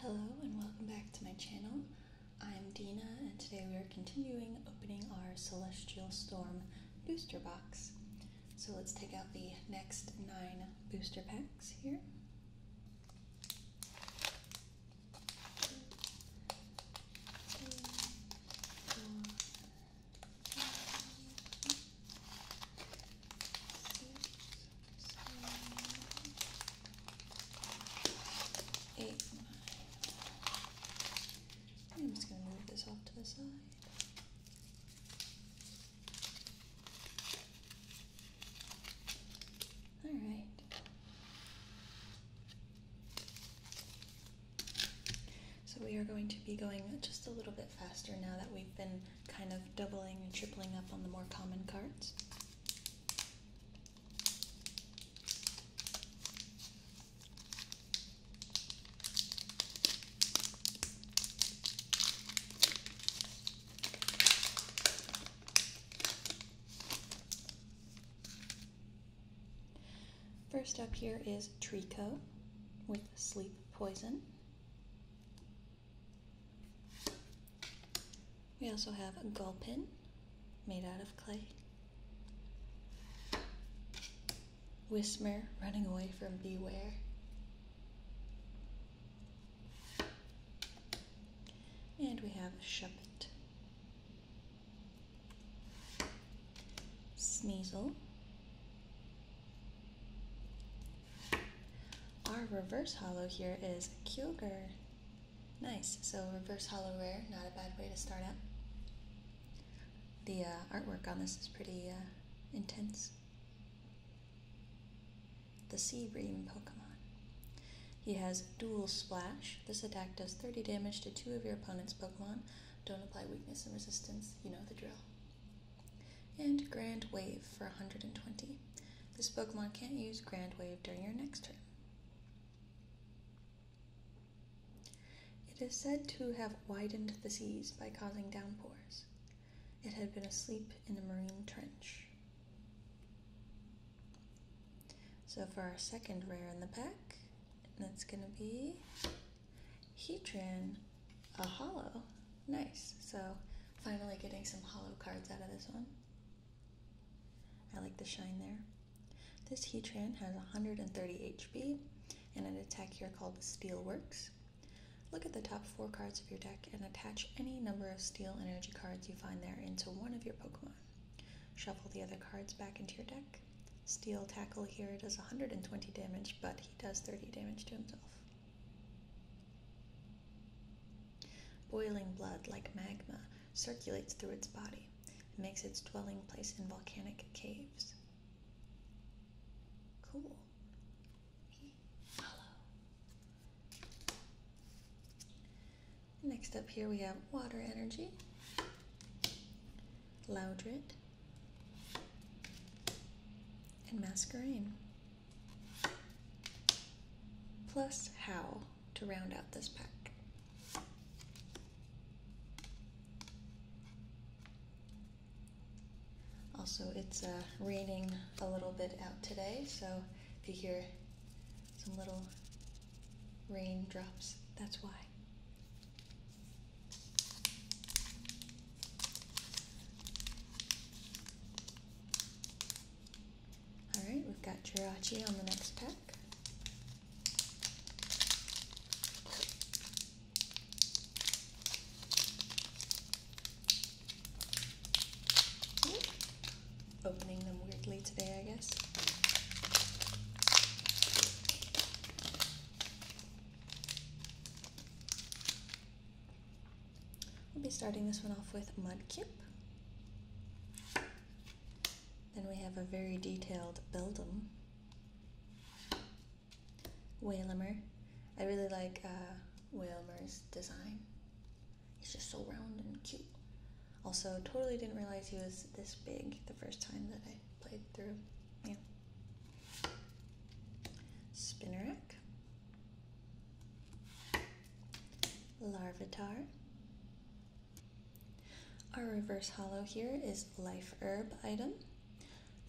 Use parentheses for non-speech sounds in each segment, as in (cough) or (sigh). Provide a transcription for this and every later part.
Hello and welcome back to my channel. I'm Dina and today we are continuing opening our Celestial Storm booster box. So let's take out the next nine booster packs here seven, eight, nine. I'm just going to move this off to the side. All right. So we are going to be going just a little bit faster now that we've been kind of doubling and tripling up on the more common cards. First up here is Trico with Sleep Poison. We also have a gull pin made out of clay. Whismer running away from Beware. And we have a Shuppet. Sneasel. Our reverse hollow here is Kyogre. Nice, so reverse hollow rare, not a bad way to start out. The uh, artwork on this is pretty uh, intense. The Sea Ream Pokemon. He has Dual Splash. This attack does 30 damage to two of your opponent's Pokemon. Don't apply weakness and resistance, you know the drill. And Grand Wave for 120. This Pokemon can't use Grand Wave during your next turn. It is said to have widened the seas by causing downpours. It had been asleep in a marine trench. So for our second rare in the pack, that's going to be Heatran, a hollow. Nice. So finally getting some hollow cards out of this one. I like the shine there. This Heatran has 130 HP and an attack here called Steelworks. Look at the top four cards of your deck and attach any number of steel energy cards you find there into one of your Pokemon. Shuffle the other cards back into your deck. Steel Tackle here does 120 damage, but he does 30 damage to himself. Boiling blood, like magma, circulates through its body and makes its dwelling place in volcanic caves. Cool. Follow. Next up here we have water energy, Laudrit, and Masquerain plus how to round out this pack. Also, it's uh, raining a little bit out today, so if you hear some little rain drops, that's why. All right, we've got Jirachi on the next pack. Opening them weirdly today, I guess. We'll be starting this one off with Mudkip. Then we have a very detailed Beldum. Whalemer. I really like uh, design. He's just so round and cute. Also, totally didn't realize he was this big the first time that I played through. Yeah. Spinnerack. Larvitar. Our reverse hollow here is Life Herb item.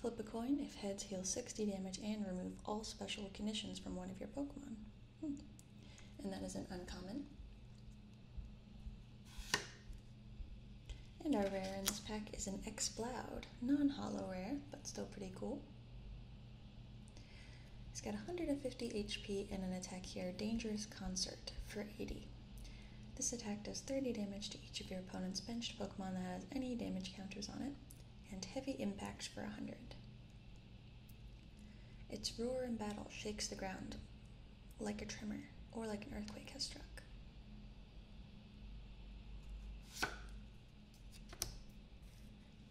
Flip a coin if heads heal 60 damage and remove all special conditions from one of your Pokemon. Hmm. And that is an uncommon. And our rare in this pack is an Exploud, non-hollow rare, but still pretty cool it has got 150 HP and an attack here, Dangerous Concert, for 80. This attack does 30 damage to each of your opponent's benched Pokemon that has any damage counters on it, and Heavy Impacts for 100. Its roar in battle shakes the ground like a tremor or like an earthquake has struck.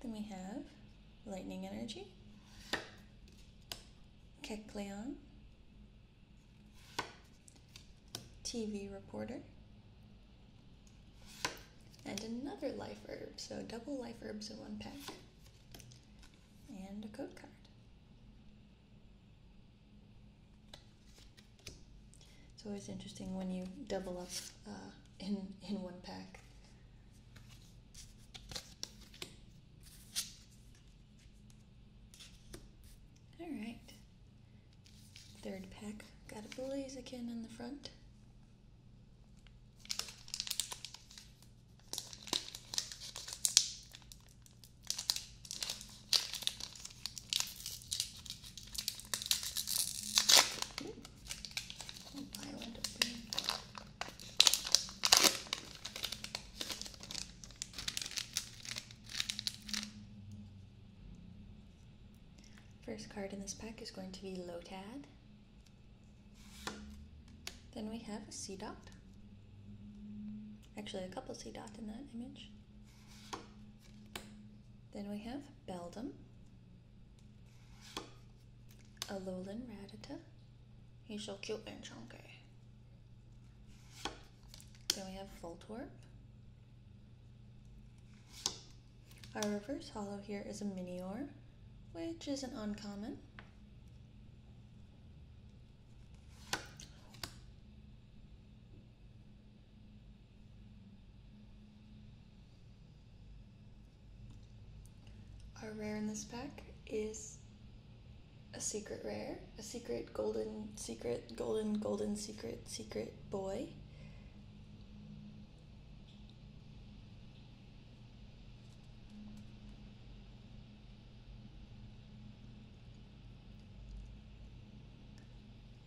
Then we have Lightning Energy, Kekleon, TV Reporter, and another Life Herb. So double Life Herbs in one pack, and a code card. It's always interesting when you double up uh, in in one pack all right. Third pack. Got a Blaziken in the front. First card in this pack is going to be Lotad. Then we have a C dot. Actually, a couple C Dots in that image. Then we have Beldum, a lowland ratata. He's so cute and chunky. Then we have Voltorb. Our reverse hollow here is a Minior, which is an uncommon. Our rare in this pack is a secret rare, a secret golden, secret, golden, golden, secret, secret boy.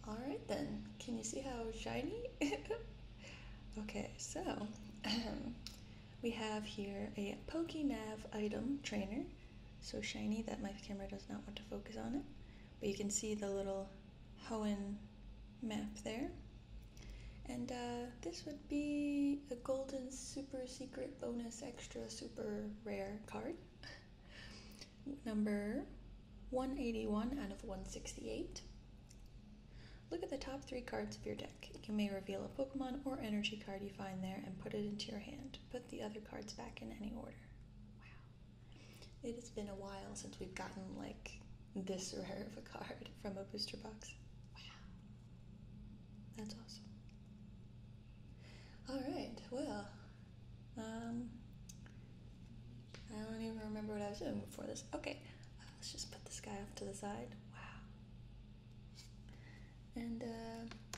Alright then, can you see how shiny? (laughs) Okay, so (clears throat) we have here a PokeNav item trainer. So shiny that my camera does not want to focus on it. But you can see the little Hoenn map there. And uh, this would be a golden super secret bonus extra super rare card. (laughs) Number 181 out of 168. Look at the top three cards of your deck. You may reveal a Pokemon or energy card you find there and put it into your hand. Put the other cards back in any order. Wow. It has been a while since we've gotten like this rare of a card (laughs) from a booster box. Wow. That's awesome. Alright, well, um, I don't even remember what I was doing before this. Okay, let's just put this guy off to the side. Wow. And uh,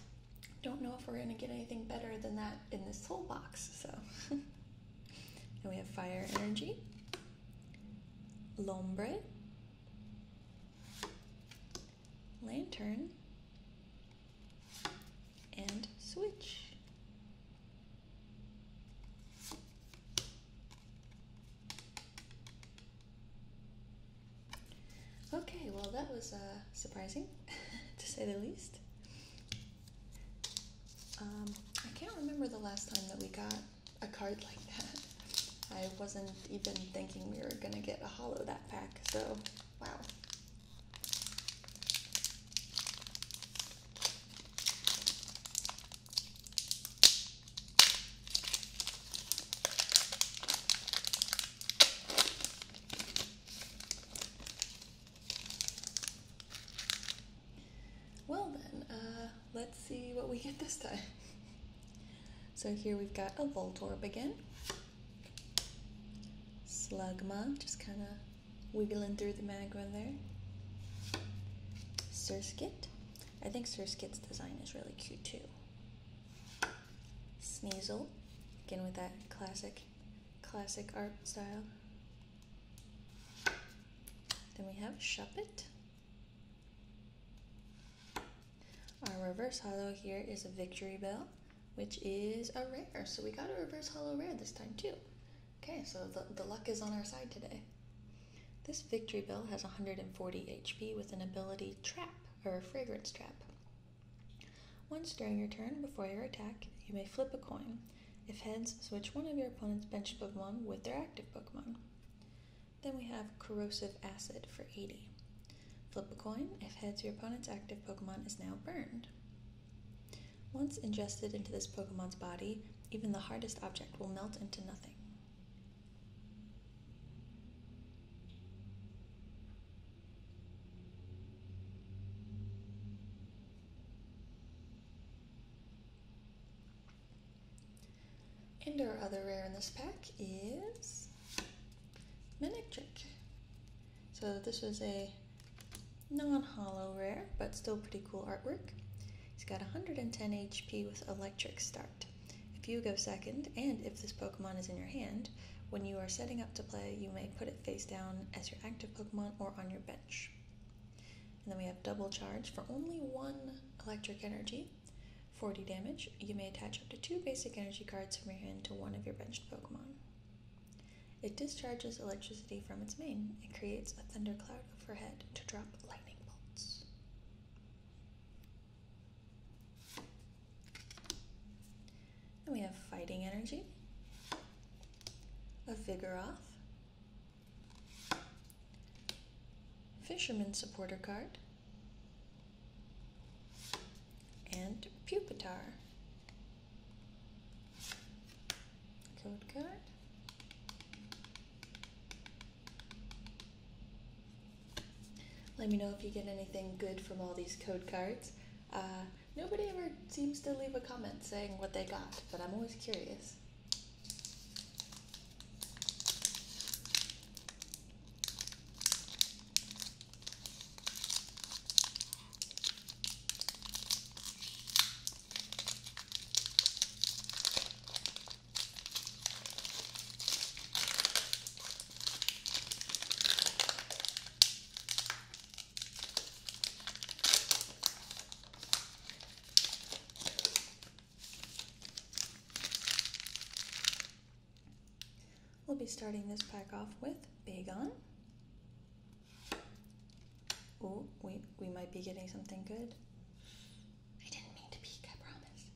don't know if we're gonna get anything better than that in this whole box, so. (laughs) and we have fire energy, lombre, lantern, and switch. Okay, well, that was uh, surprising, (laughs) to say the least. Um, I can't remember the last time that we got a card like that. I wasn't even thinking we were gonna get a hollow that pack, so wow. Well then, uh, let's see what we get this time. (laughs) so here we've got a Voltorb again. Slugma, just kind of wiggling through the magma there. Surskit. I think Sir Skit's design is really cute too. Sneasel, again with that classic, classic art style. Then we have Shuppet. Our reverse hollow here is a Victory Bell, which is a rare. So we got a reverse hollow rare this time too. Okay, so the, the luck is on our side today. This Victory bill has 140 HP with an ability Trap, or Fragrance Trap. Once during your turn, before your attack, you may flip a coin. If heads, switch one of your opponent's bench Pokemon with their active Pokemon. Then we have Corrosive Acid for 80. Flip a coin. If heads, your opponent's active Pokemon is now burned. Once ingested into this Pokemon's body, even the hardest object will melt into nothing. And our other rare in this pack is Manectric. So this was a non-hollow rare, but still pretty cool artwork it has got 110 HP with Electric Start. If you go second, and if this Pokemon is in your hand, when you are setting up to play, you may put it face down as your active Pokemon or on your bench. And then we have Double Charge for only one Electric Energy, 40 damage. You may attach up to two basic energy cards from your hand to one of your benched Pokemon. It discharges electricity from its main. and creates a thundercloud overhead to drop lightning bolts. And we have fighting energy, a vigor off, fisherman supporter card, and pupitar. Code card. Let me know if you get anything good from all these code cards. Uh, nobody ever seems to leave a comment saying what they got, but I'm always curious. We'll be starting this pack off with Bagon. Oh, wait, we might be getting something good. I didn't mean to peek, I promise.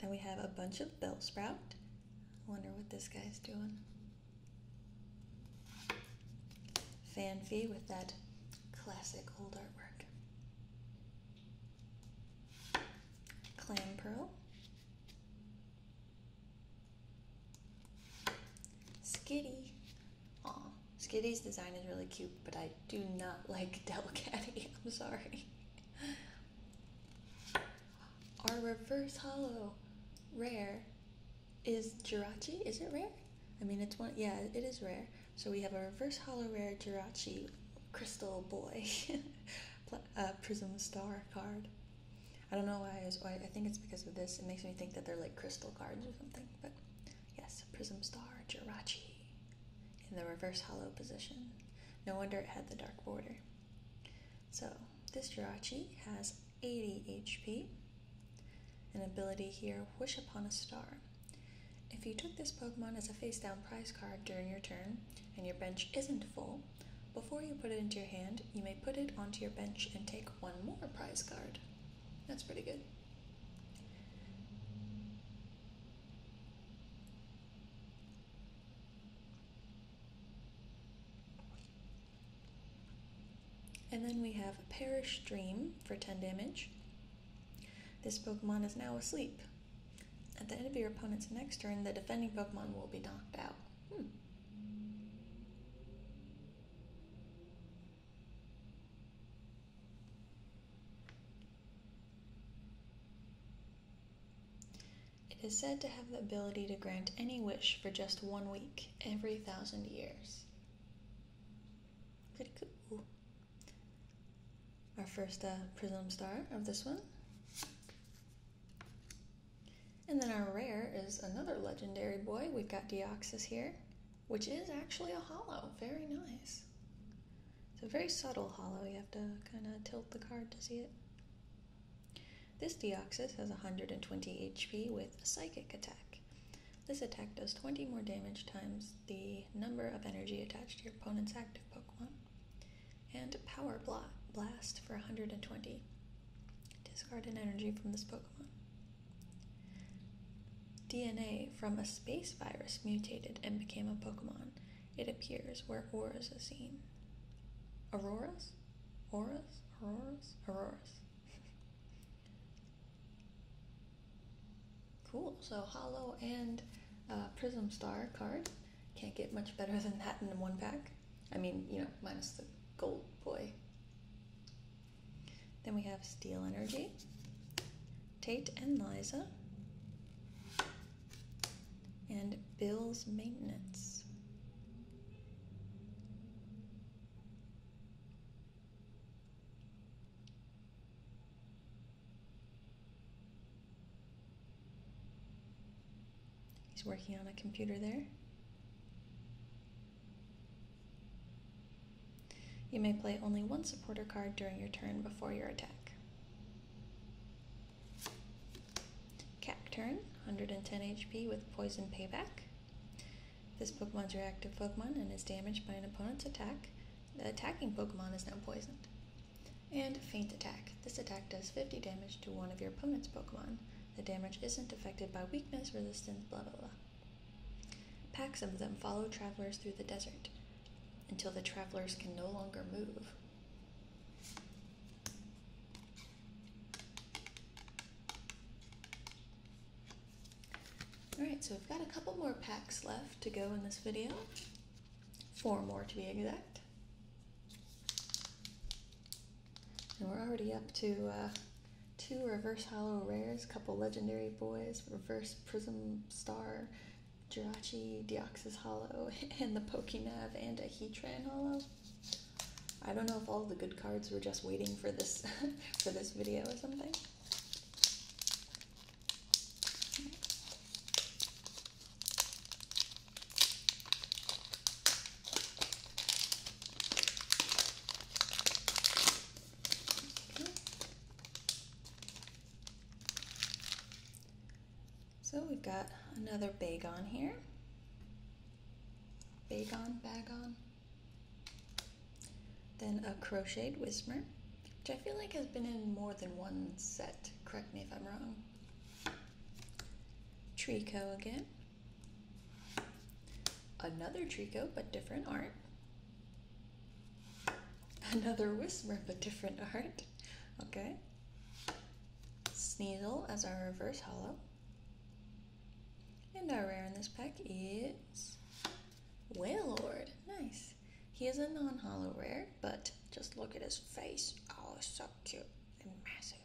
Then we have a bunch of bell sprout. I wonder what this guy's doing. Fanfi with that classic old artwork. Clam pearl. Skitty. Aw, Skitty's design is really cute, but I do not (laughs) like Delcatty. (laughs) I'm sorry. Our reverse hollow rare is Jirachi. Is it rare? I mean, it's one. Yeah, it is rare. So we have a reverse hollow rare Jirachi Crystal Boy (laughs) uh, Prism Star card. I don't know why I, why. I think it's because of this. It makes me think that they're like crystal cards or something. But Yes, prism star, Jirachi, in the reverse hollow position. No wonder it had the dark border. So, this Jirachi has 80 HP, an ability here, Wish Upon a Star. If you took this Pokemon as a face down prize card during your turn and your bench isn't full, before you put it into your hand, you may put it onto your bench and take one more prize card. That's pretty good. And then we have Perish Dream for 10 damage. This Pokemon is now asleep. At the end of your opponent's next turn, the defending Pokemon will be knocked out. Hmm. It is said to have the ability to grant any wish for just one week every thousand years. Pretty cool. Our first uh, prism star of this one. And then our rare is another legendary boy. We've got Deoxys here, which is actually a hollow. Very nice. It's a very subtle hollow, you have to kind of tilt the card to see it. This Deoxys has 120 HP with Psychic attack. This attack does 20 more damage times the number of energy attached to your opponent's active Pokemon. And Power Blast for 120. Discard an energy from this Pokemon. DNA from a space virus mutated and became a Pokemon. It appears where auras are seen. Auroras? Auras? Auroras? Auroras. (laughs) cool. So Hollow and uh, Prism Star card. Can't get much better than that in one pack. I mean, you know, minus the gold boy. Then we have Steel Energy, Tate and Liza, and Bill's Maintenance. He's working on a computer there. You may play only one supporter card during your turn before your attack. Cap turn, 110 HP with Poison Payback. This Pokemon's your active Pokemon and is damaged by an opponent's attack. The attacking Pokemon is now poisoned. And Faint Attack. This attack does 50 damage to one of your opponent's Pokemon. The damage isn't affected by weakness, resistance, blah blah blah. Packs of them follow travelers through the desert until the travelers can no longer move. Alright, so we have got a couple more packs left to go in this video. Four more to be exact. And we're already up to uh, two reverse hollow rares, a couple legendary boys, reverse prism star, Jirachi, Deoxys Hollow, (laughs) and the Pokénav and a Heatran Hollow. I don't know if all the good cards were just waiting for this (laughs) for this video or something. So we've got another bagon here. Bagon, bagon. Then a crocheted whisper, which I feel like has been in more than one set. Correct me if I'm wrong. Trico again. Another Trico, but different art. Another whisper, a different art. Okay. Sneasel as our reverse hollow. And our rare in this pack is Waylord. Nice. He is a non hollow rare, but just look at his face. Oh, so cute and massive.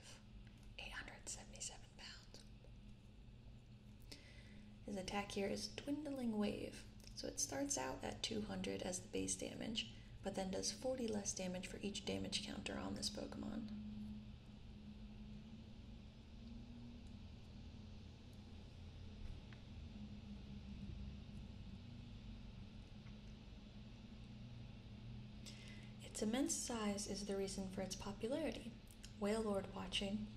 877 pounds. His attack here is Dwindling Wave. So it starts out at 200 as the base damage, but then does 40 less damage for each damage counter on this Pokemon. Its immense size is the reason for its popularity. Whale Lord watching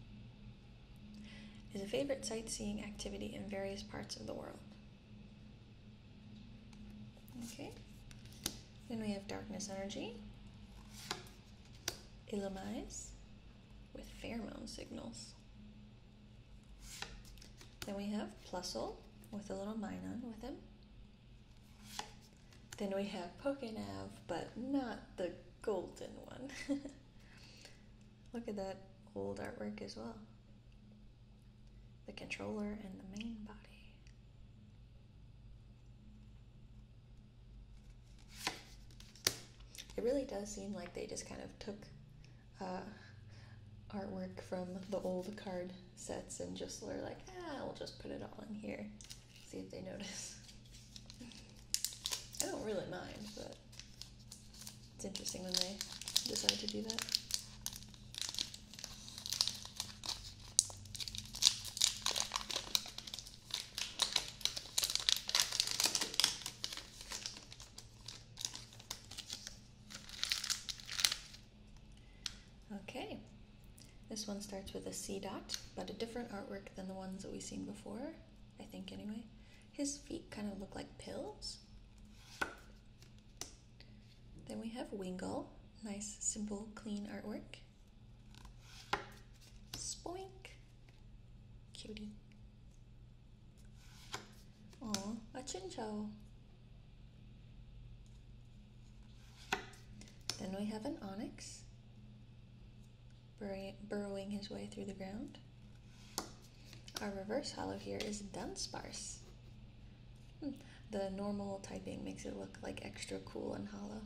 is a favorite sightseeing activity in various parts of the world. Okay, then we have darkness energy, illumise with pheromone signals. Then we have Plusle with a little Minon with him. Then we have Pokenav, but not the golden one. (laughs) Look at that old artwork as well. The controller and the main body. It really does seem like they just kind of took uh, artwork from the old card sets and just were like, ah, we'll just put it all in here. See if they notice. (laughs) I don't really mind, but it's interesting when they decide to do that. Okay, this one starts with a C dot, but a different artwork than the ones that we've seen before. I think anyway. His feet kind of look like pills. Then we have Wingle. Nice, simple, clean artwork. Spoink. Cutie. Oh, a chincho. Then we have an onyx burrowing his way through the ground. Our reverse hollow here is Dunsparce. Hmm. The normal typing makes it look like extra cool and hollow.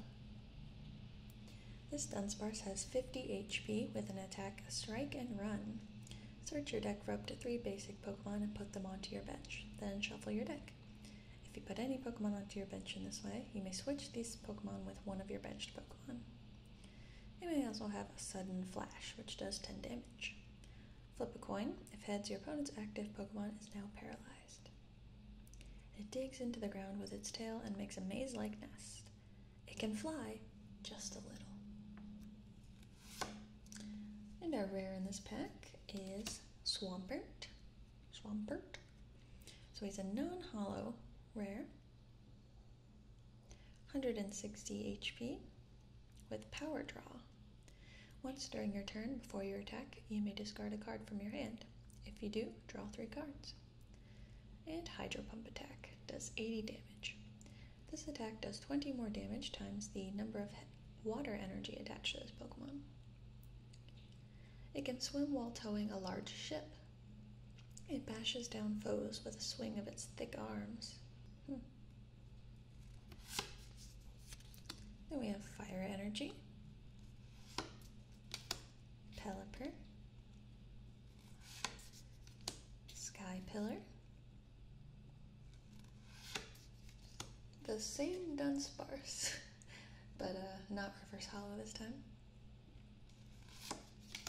This Dunsparce has 50 HP with an attack, strike, and run. Search your deck for up to three basic Pokemon and put them onto your bench. Then shuffle your deck. If you put any Pokemon onto your bench in this way, you may switch these Pokemon with one of your benched Pokemon. It may also have a sudden flash, which does 10 damage. Flip a coin. If heads, your opponent's active Pokemon is now paralyzed. It digs into the ground with its tail and makes a maze like nest. It can fly just a little. And our rare in this pack is Swampert. Swampert. So he's a non hollow rare. 160 HP with Power Draw. Once during your turn before your attack, you may discard a card from your hand. If you do, draw three cards. And Hydro Pump Attack does 80 damage. This attack does 20 more damage times the number of water energy attached to this Pokemon. It can swim while towing a large ship, it bashes down foes with a swing of its thick arms. Hmm. Then we have Fire Energy, Pelipper, Sky Pillar, the same Dunsparce, (laughs) but uh, not Reverse Hollow this time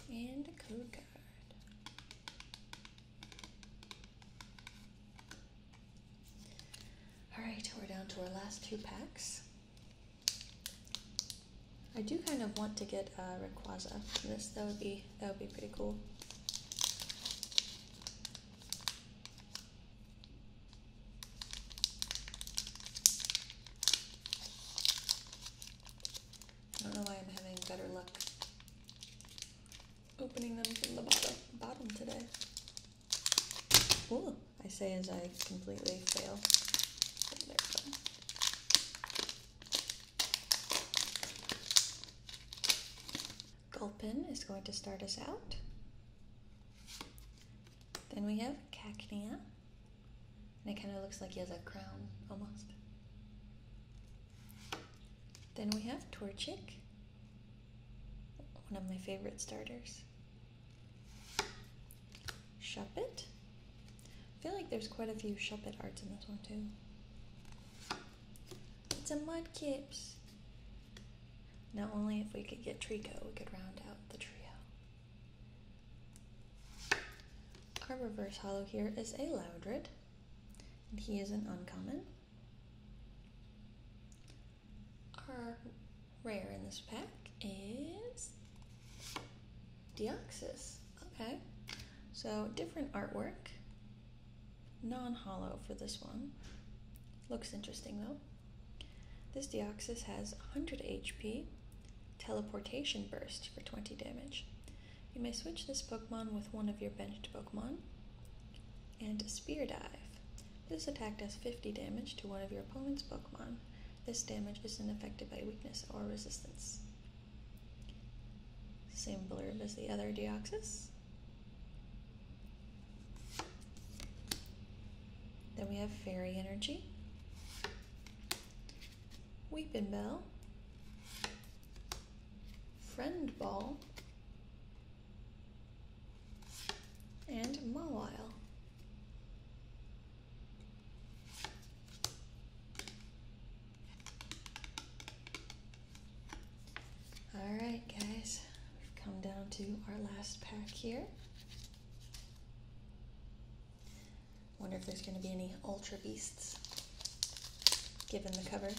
and a code card. All right, we're down to our last two packs. I do kind of want to get a uh, from this. That would be that would be pretty cool. I don't know why I'm having better luck opening them from the bottom, bottom today. Ooh, I say as I completely fail. There Gulpin is going to start us out. Then we have Cacnea, and it kind of looks like he has a crown, almost. Then we have Torchic, one of my favorite starters. Shuppet. I feel like there's quite a few Shuppet arts in this one too. It's a Mudkips. Now only if we could get Trico, we could round out the trio. Our reverse hollow here is a Loudred. And he is an uncommon. Our rare in this pack is Deoxys. Okay. So different artwork. Non-hollow for this one. Looks interesting though. This Deoxys has 100 HP, teleportation burst for 20 damage, you may switch this Pokemon with one of your benched Pokemon. And Spear Dive. This attack does 50 damage to one of your opponent's Pokemon. This damage isn't affected by weakness or resistance. Same blurb as the other Deoxys. Then we have Fairy Energy. Weeping Bell, Friend Ball, and Mawile. Alright guys, we've come down to our last pack here. Wonder if there's going to be any Ultra Beasts given the cover.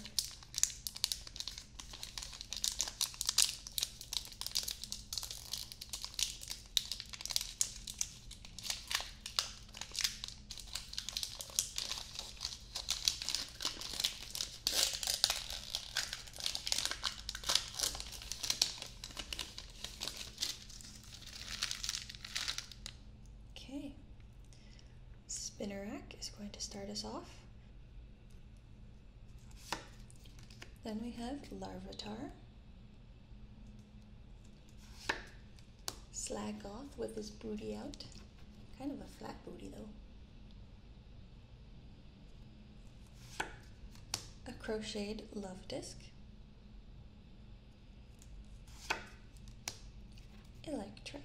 Okay. Spinnerack is going to start us off. Then we have Larvitar. Slagoth with his booty out. Kind of a flat booty though. A crocheted love disc electric.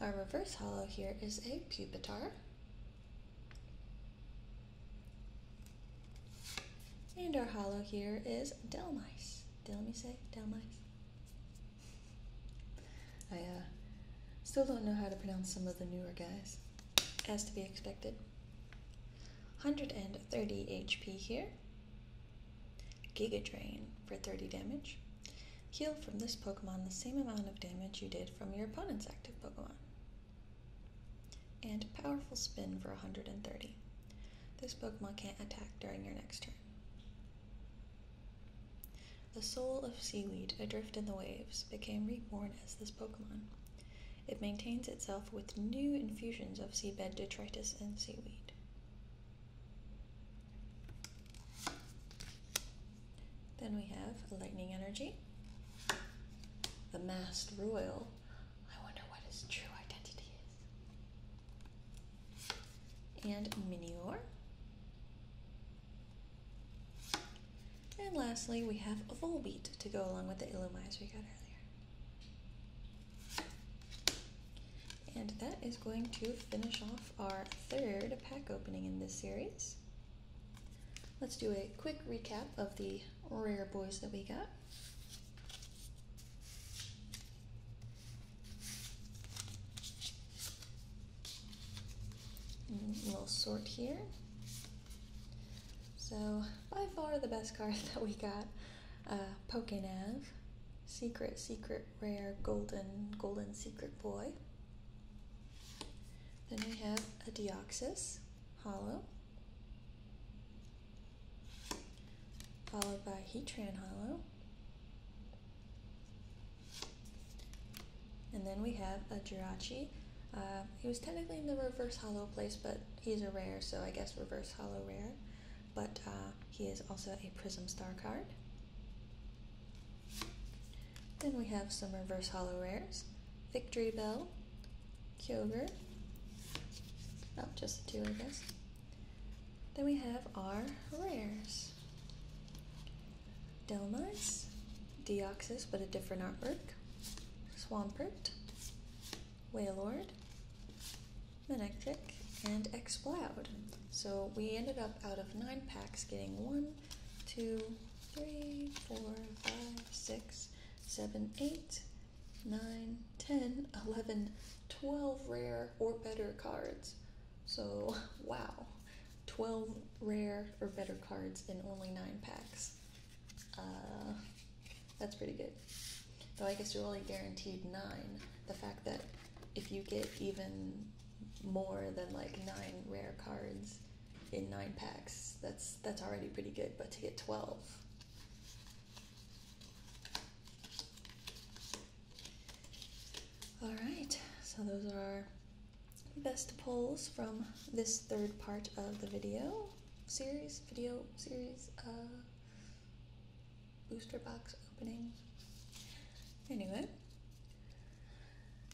Our reverse hollow here is a pupitar. And our hollow here is Delmice. Delmice? Delmice? I uh, still don't know how to pronounce some of the newer guys, as to be expected. 130 HP here. Giga Drain for 30 damage. Heal from this Pokemon the same amount of damage you did from your opponent's active Pokemon. And Powerful Spin for 130. This Pokemon can't attack during your next turn. The soul of seaweed adrift in the waves became reborn as this Pokemon. It maintains itself with new infusions of seabed detritus and seaweed. Then we have lightning energy, the mast royal. I wonder what his true identity is. And Minior. And lastly, we have a volbeat to go along with the illumise we got earlier. And that is going to finish off our third pack opening in this series. Let's do a quick recap of the rare boys that we got. We'll sort here. So, by far the best card (laughs) that we got uh, Pokenav, Secret, Secret, Rare, Golden, Golden Secret Boy. Then we have a Deoxys, Hollow, followed by Heatran Hollow. And then we have a Jirachi uh, he was technically in the reverse hollow place, but he's a rare, so I guess reverse hollow rare. But uh, he is also a Prism Star card. Then we have some reverse hollow rares Victory Bell, Kyogre. Oh, just two, I guess. Then we have our rares Delmice, Deoxys, but a different artwork, Swampert, Waylord, Manectric, and Exploud. So we ended up out of nine packs getting one, two, three, four, five, six, seven, eight, nine, ten, eleven, twelve rare or better cards. So, (laughs) wow. 12 rare or better cards in only 9 packs. Uh, that's pretty good. Though I guess you're only guaranteed nine. The fact that if you get even more than like nine rare cards in nine packs, that's that's already pretty good. But to get twelve. Alright, so those are our best pulls from this third part of the video series, video series, uh, booster box opening. Anyway,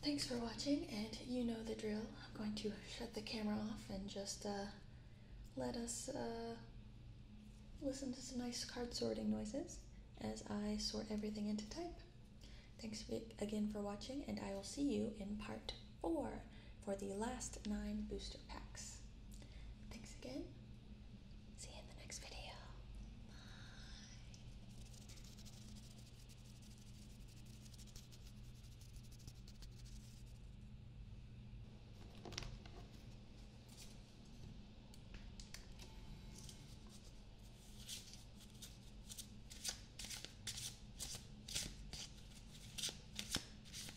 thanks for watching, and you know the drill. I'm going to shut the camera off and just uh, let us uh, listen to some nice card sorting noises as I sort everything into type. Thanks again for watching, and I will see you in part or for the last nine booster packs. Thanks again. See you in the next video. Bye.